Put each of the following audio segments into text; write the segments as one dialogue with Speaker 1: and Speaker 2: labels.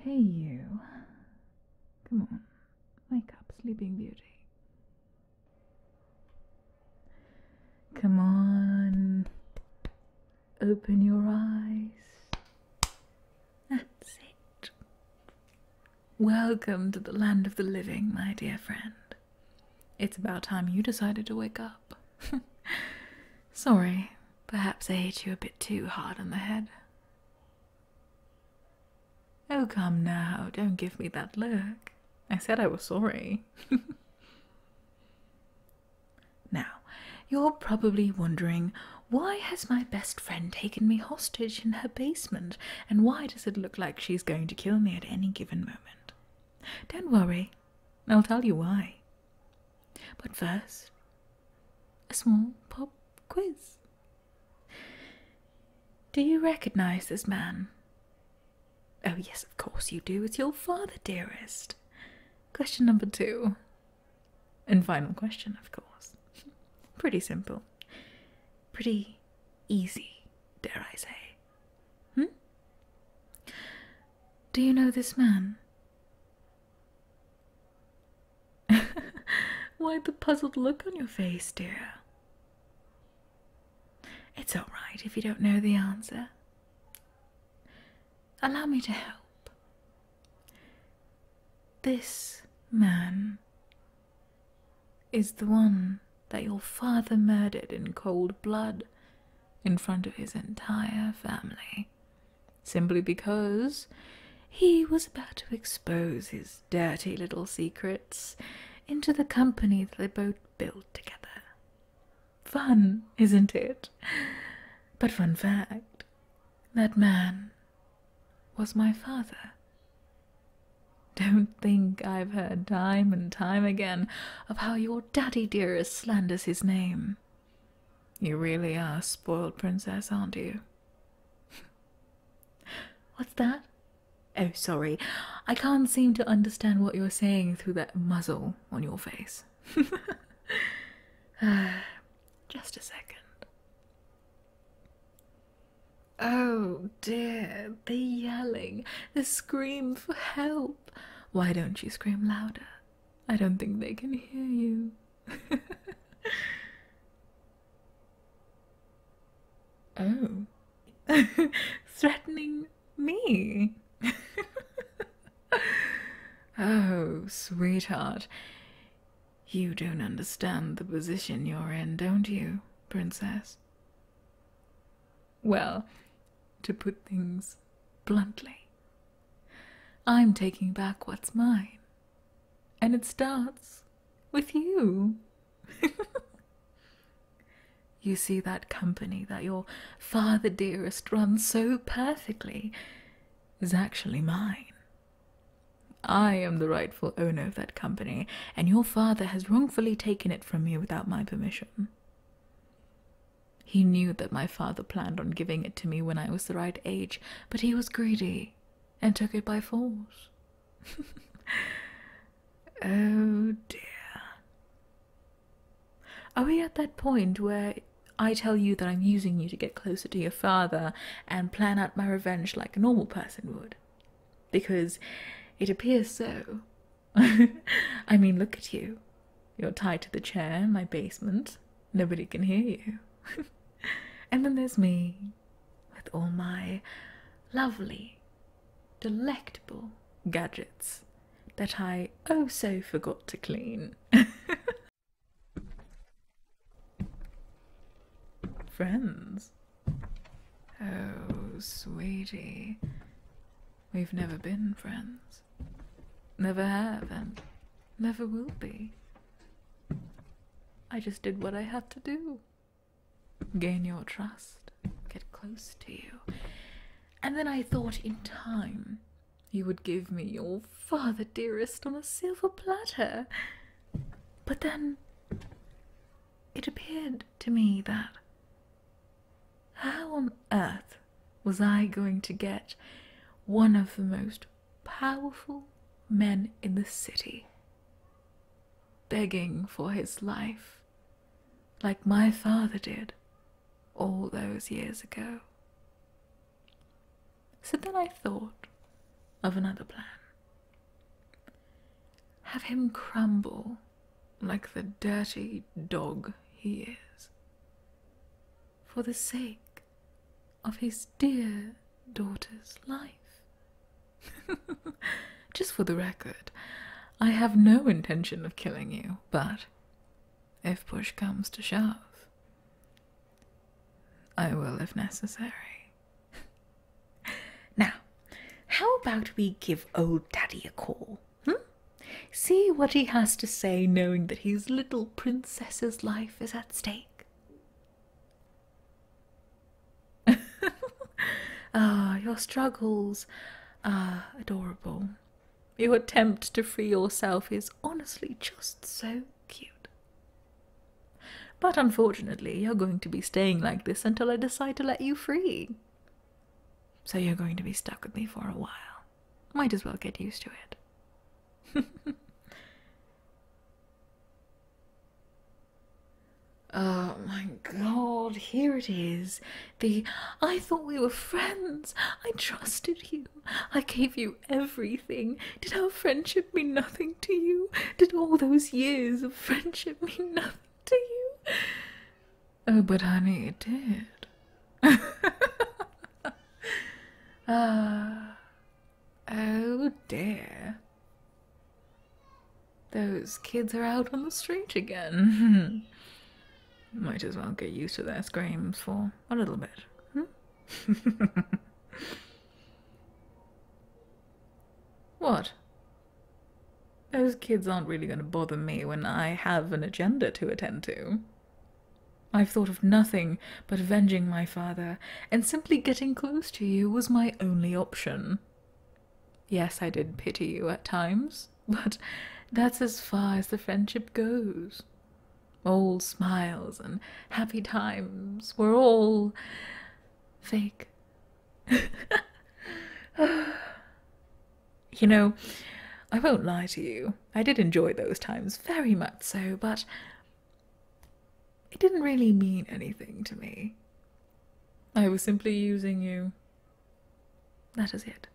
Speaker 1: Hey, you. Come on. Wake up, Sleeping Beauty. Come on. Open your eyes. That's it. Welcome to the land of the living, my dear friend. It's about time you decided to wake up. Sorry, perhaps I hit you a bit too hard on the head. Oh, come now, don't give me that look. I said I was sorry. now, you're probably wondering why has my best friend taken me hostage in her basement, and why does it look like she's going to kill me at any given moment? Don't worry, I'll tell you why. But first, a small pop quiz. Do you recognize this man? Oh, yes, of course you do. It's your father, dearest. Question number two. And final question, of course. Pretty simple. Pretty easy, dare I say. Hmm? Do you know this man? Why the puzzled look on your face, dear? It's all right if you don't know the answer. Allow me to help. This man is the one that your father murdered in cold blood in front of his entire family simply because he was about to expose his dirty little secrets into the company that they both built together. Fun, isn't it? But one fact that man was my father. Don't think I've heard time and time again of how your daddy dearest slanders his name. You really are a spoiled, Princess, aren't you? What's that? Oh, sorry. I can't seem to understand what you're saying through that muzzle on your face. just a second. Oh dear, the yelling, the scream for help. Why don't you scream louder? I don't think they can hear you oh. Threatening me. oh, sweetheart. You don't understand the position you're in, don't you, Princess? Well, to put things bluntly, I'm taking back what's mine. And it starts with you. you see that company that your father dearest runs so perfectly is actually mine. I am the rightful owner of that company, and your father has wrongfully taken it from me without my permission. He knew that my father planned on giving it to me when I was the right age, but he was greedy and took it by force. oh dear. Are we at that point where I tell you that I'm using you to get closer to your father and plan out my revenge like a normal person would? Because it appears so. I mean, look at you. You're tied to the chair in my basement, Nobody can hear you. and then there's me, with all my lovely, delectable gadgets that I oh so forgot to clean. Friends? Oh, sweetie. We've never been friends. Never have, and never will be. I just did what I had to do. Gain your trust, get close to you. And then I thought in time you would give me your father, dearest, on a silver platter. But then it appeared to me that how on earth was I going to get one of the most powerful men in the city, begging for his life, like my father did all those years ago. So then I thought of another plan. Have him crumble like the dirty dog he is, for the sake of his dear daughter's life. Just for the record, I have no intention of killing you, but if push comes to shove, I will if necessary. now, how about we give old daddy a call? Hmm? See what he has to say, knowing that his little princess's life is at stake. ah, your struggles are adorable. Your attempt to free yourself is honestly just so cute. But unfortunately, you're going to be staying like this until I decide to let you free. So you're going to be stuck with me for a while. Might as well get used to it. Oh my god, here it is. The I thought we were friends. I trusted you. I gave you everything. Did our friendship mean nothing to you? Did all those years of friendship mean nothing to you? Oh, but honey, it did. ah, Oh dear. Those kids are out on the street again. Might as well get used to their screams for a little bit. Hmm? what? Those kids aren't really going to bother me when I have an agenda to attend to. I've thought of nothing but avenging my father, and simply getting close to you was my only option. Yes, I did pity you at times, but that's as far as the friendship goes. Old smiles and happy times were all fake. you know, I won't lie to you, I did enjoy those times very much so, but it didn't really mean anything to me. I was simply using you. That is it.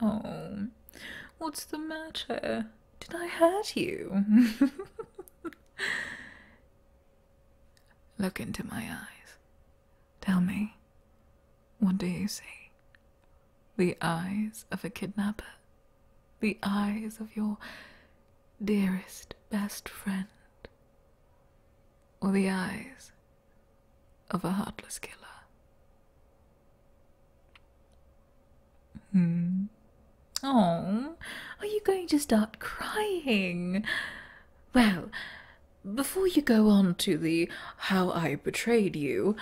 Speaker 1: Oh, what's the matter? Did I hurt you? Look into my eyes. Tell me, what do you see? the eyes of a kidnapper, the eyes of your dearest best friend, or the eyes of a heartless killer. Hmm. Oh, are you going to start crying? Well, before you go on to the how I betrayed you,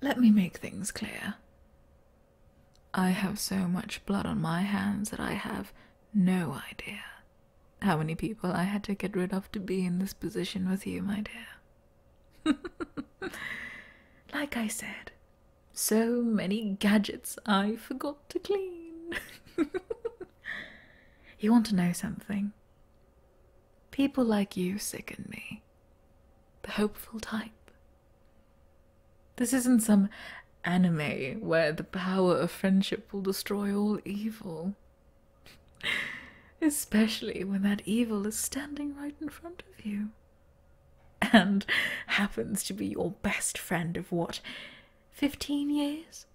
Speaker 1: let me make things clear. I have so much blood on my hands that I have no idea how many people I had to get rid of to be in this position with you, my dear. like I said, so many gadgets I forgot to clean. you want to know something? People like you sicken me the hopeful type. This isn't some anime where the power of friendship will destroy all evil. Especially when that evil is standing right in front of you. And happens to be your best friend of what, 15 years?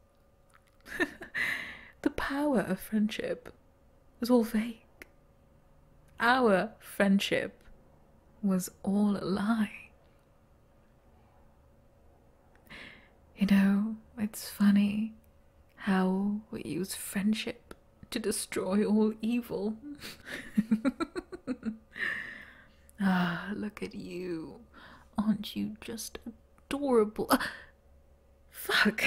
Speaker 1: the power of friendship was all fake. Our friendship was all a lie. You know, it's funny how we use friendship to destroy all evil. ah, look at you. Aren't you just adorable? Ah, fuck.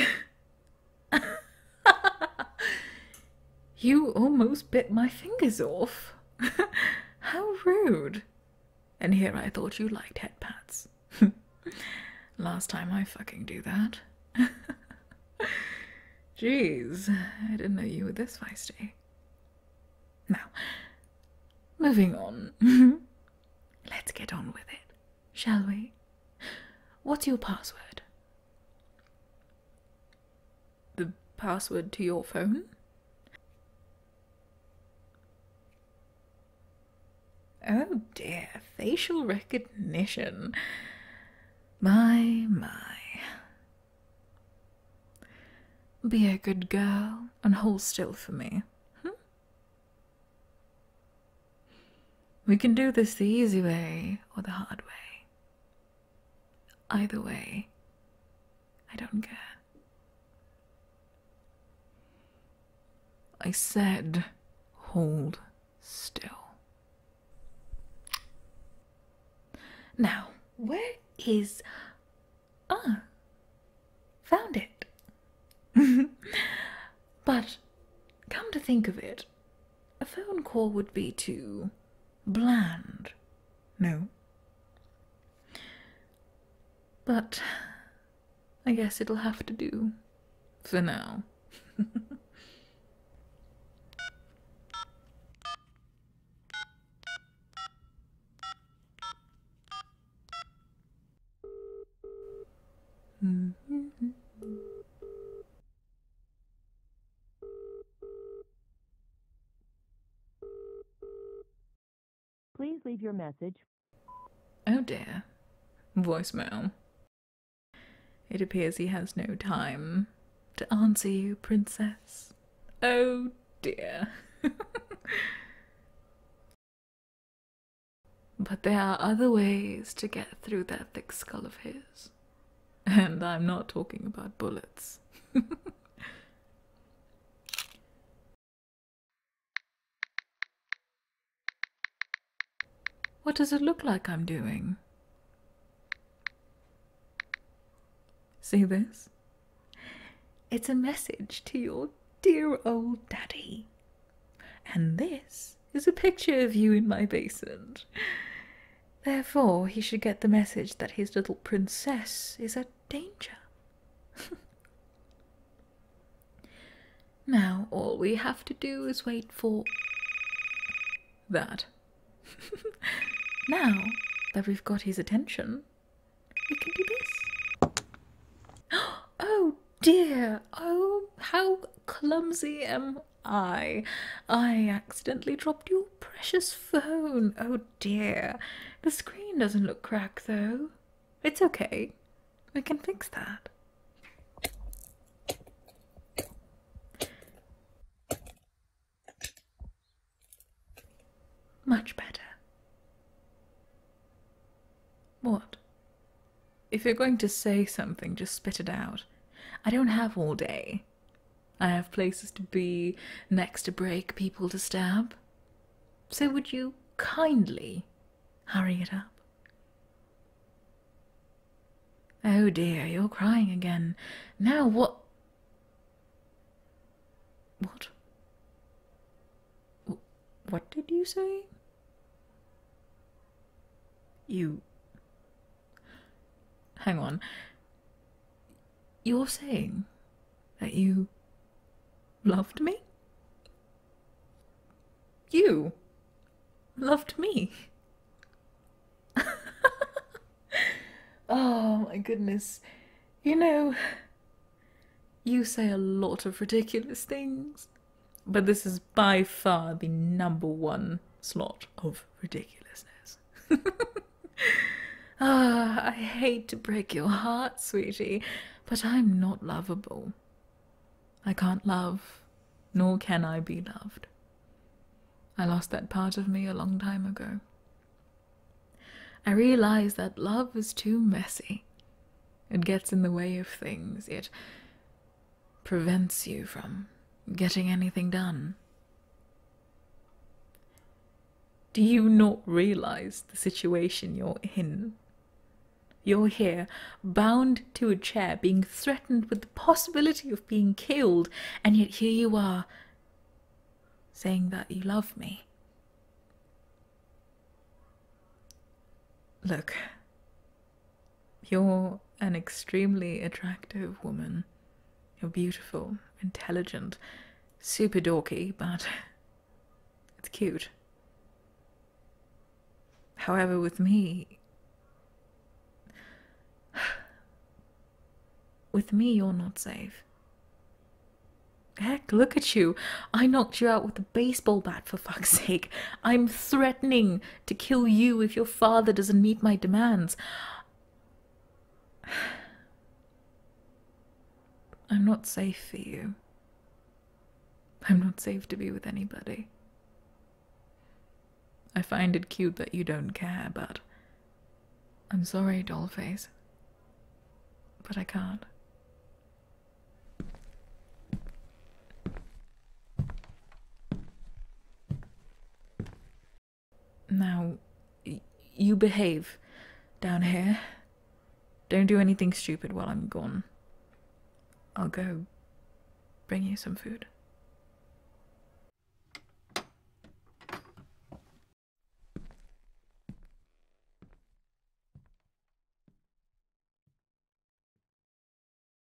Speaker 1: you almost bit my fingers off. How rude. And here I thought you liked headpats. Last time I fucking do that. Jeez, I didn't know you were this feisty. Now, moving on. Let's get on with it, shall we? What's your password? the password to your phone. Oh dear, facial recognition. My, my. Be a good girl and hold still for me. Hmm? We can do this the easy way or the hard way. Either way, I don't care. I said, hold still. Now, where is. Ah! Found it! but come to think of it, a phone call would be too bland. No. But I guess it'll have to do for now. Mm-hmm. Please leave your message. Oh dear. Voicemail. It appears he has no time to answer you, princess. Oh dear. but there are other ways to get through that thick skull of his. And I'm not talking about bullets. what does it look like I'm doing? See this? It's a message to your dear old daddy. And this is a picture of you in my basin. Therefore, he should get the message that his little princess is at danger. now, all we have to do is wait for that. now that we've got his attention, we can do this. Oh dear! Oh, how clumsy am I? I accidentally dropped your precious phone. Oh dear. The screen doesn't look cracked though. It's okay. We can fix that. Much better. What? If you're going to say something, just spit it out. I don't have all day. I have places to be, next to break, people to stab. So would you kindly hurry it up? Oh dear, you're crying again. Now what? What? What did you say? You. Hang on. You're saying that you loved me? You loved me. oh my goodness. You know, you say a lot of ridiculous things. But this is by far the number one slot of ridiculousness. ah, I hate to break your heart, sweetie, but I'm not lovable. I can't love, nor can I be loved. I lost that part of me a long time ago. I realize that love is too messy. It gets in the way of things, yet prevents you from getting anything done. Do you not realize the situation you're in? You're here, bound to a chair, being threatened with the possibility of being killed, and yet here you are saying that you love me. Look, you're an extremely attractive woman. You're beautiful, intelligent, super dorky, but it's cute. However, with me, with me, you're not safe. Heck, look at you. I knocked you out with a baseball bat for fuck's sake. I'm threatening to kill you if you're father doesn't meet my demands. I'm not safe for you. I'm not safe to be with anybody. I find it cute that you don't care, but I'm sorry, dollface. But I can't. Now, you behave down here. Don't do anything stupid while I'm gone. I'll go bring you some food.